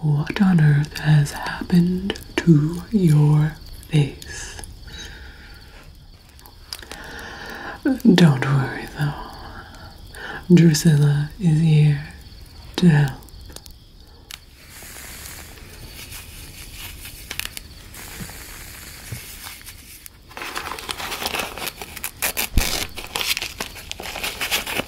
What on earth has happened to your face? Don't worry though, Drusilla is here to help.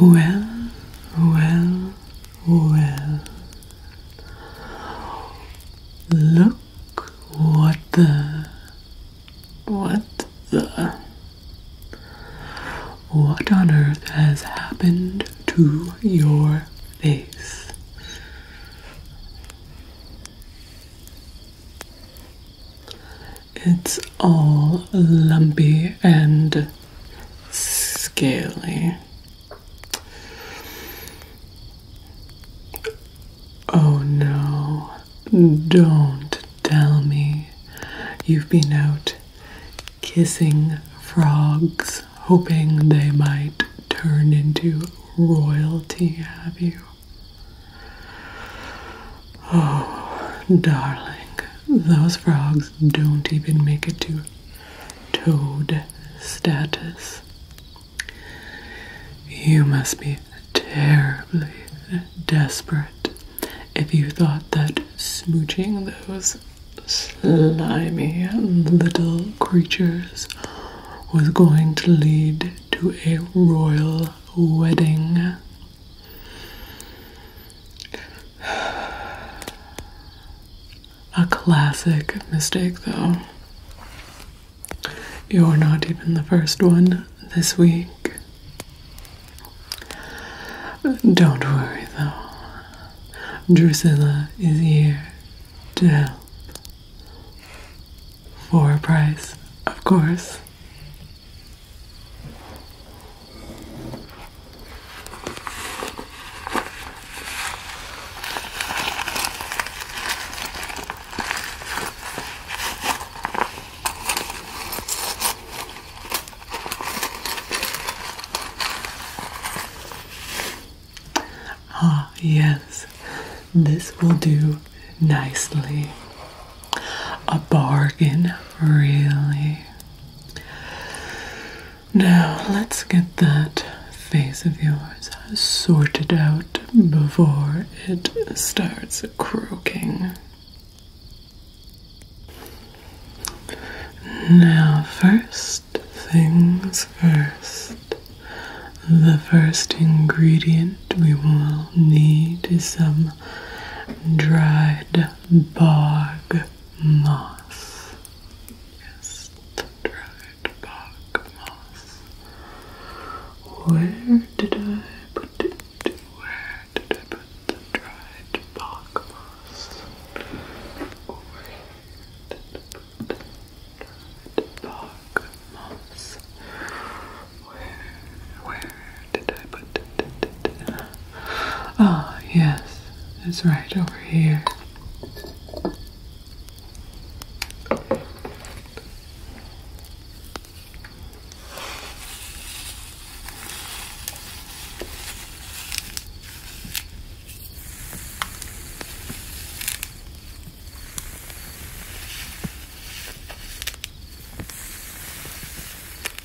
Well, well, well. Look what the. What the. What on earth has happened to your face? It's all lumpy and scaly. Oh no, don't tell me you've been out kissing frogs, hoping they might turn into royalty, have you? Oh, darling, those frogs don't even make it to toad status. You must be terribly desperate if you thought that smooching those slimy little creatures was going to lead to a royal wedding. A classic mistake, though. You're not even the first one this week. Don't worry, though. Drusilla is here to help. For a price, of course. Ah, yes, this will do nicely a bargain, really. Now, let's get that face of yours sorted out before it starts croaking. Now, first things first. The first ingredient we will need is some dried bog moss. Yes, dried bog moss. Where did I put it? Where did I put the dried bog moss? Where did I put the dried bog moss? Where, where did I put it? Ah, oh, yes, it's right over here.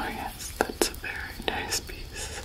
Oh, yes, that's a very nice piece.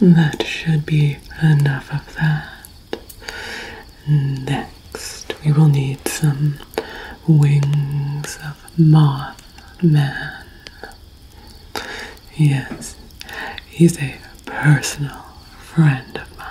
That should be enough of that. Next, we will need some wings of Mothman. Yes, he's a personal friend of mine.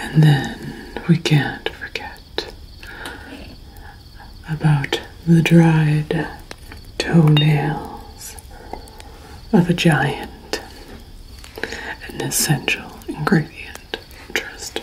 And then we can't forget about the dried toenails of a giant, an essential ingredient. Trust me.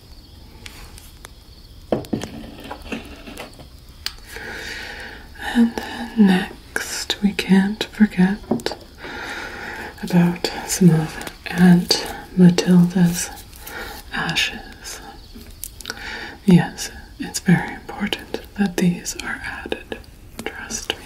And next, we can't forget about some of Aunt Matilda's ashes. Yes, it's very important that these are added. Trust me.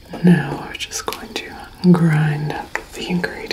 Now we're just going to grind up the ingredients.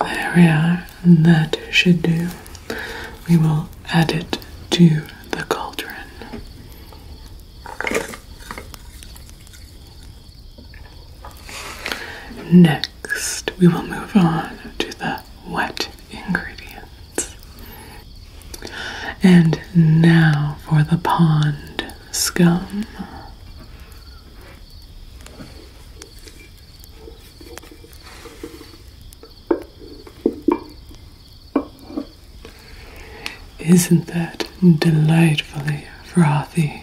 There we are, that should do. We will add it to the cauldron. Next, we will move on to the wet ingredients. And now for the pond scum. Isn't that delightfully frothy?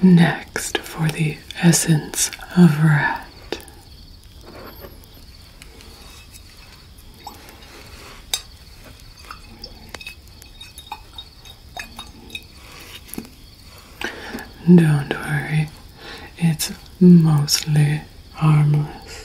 Next, for the essence of rat. Don't worry, it's mostly harmless.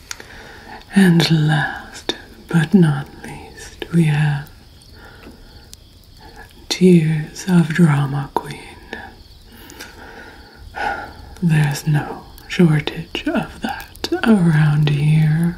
And last but not least, we have Tears of Drama Queen. There's no shortage of that around here.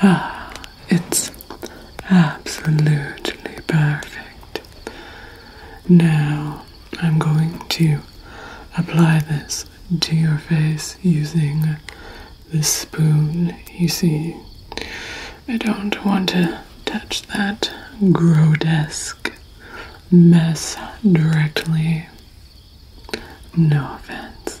Ah, it's absolutely perfect. Now I'm going to apply this to your face using this spoon. You see, I don't want to touch that grotesque mess directly. No offense.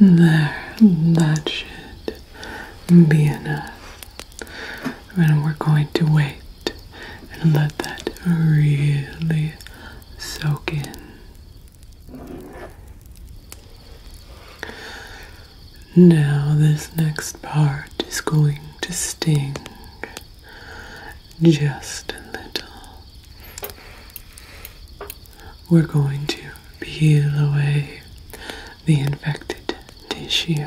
There, that should be enough. And we're going to wait and let that really soak in. Now, this next part is going to sting just a little we're going to peel away the infected tissue.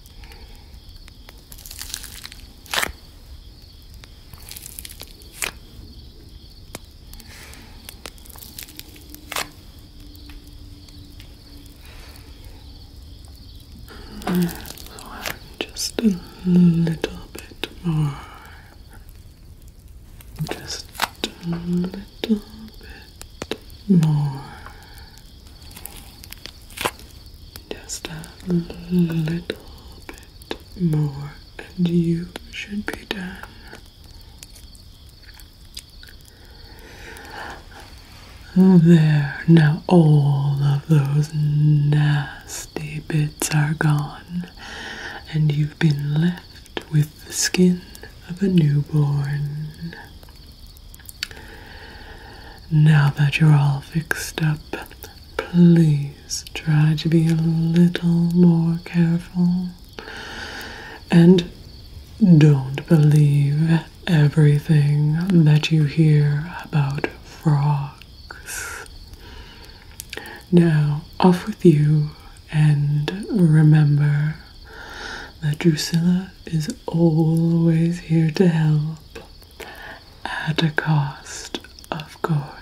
So just a little bit more. Just a little bit more. Just a little bit more, and you should be done. There, now all of those nasty bits are gone, and you've been left with the skin of a newborn. Now that you're all fixed up, please try to be a little more careful and don't believe everything that you hear about frogs. Now, off with you, and remember that Drusilla is always here to help at a cost, of course.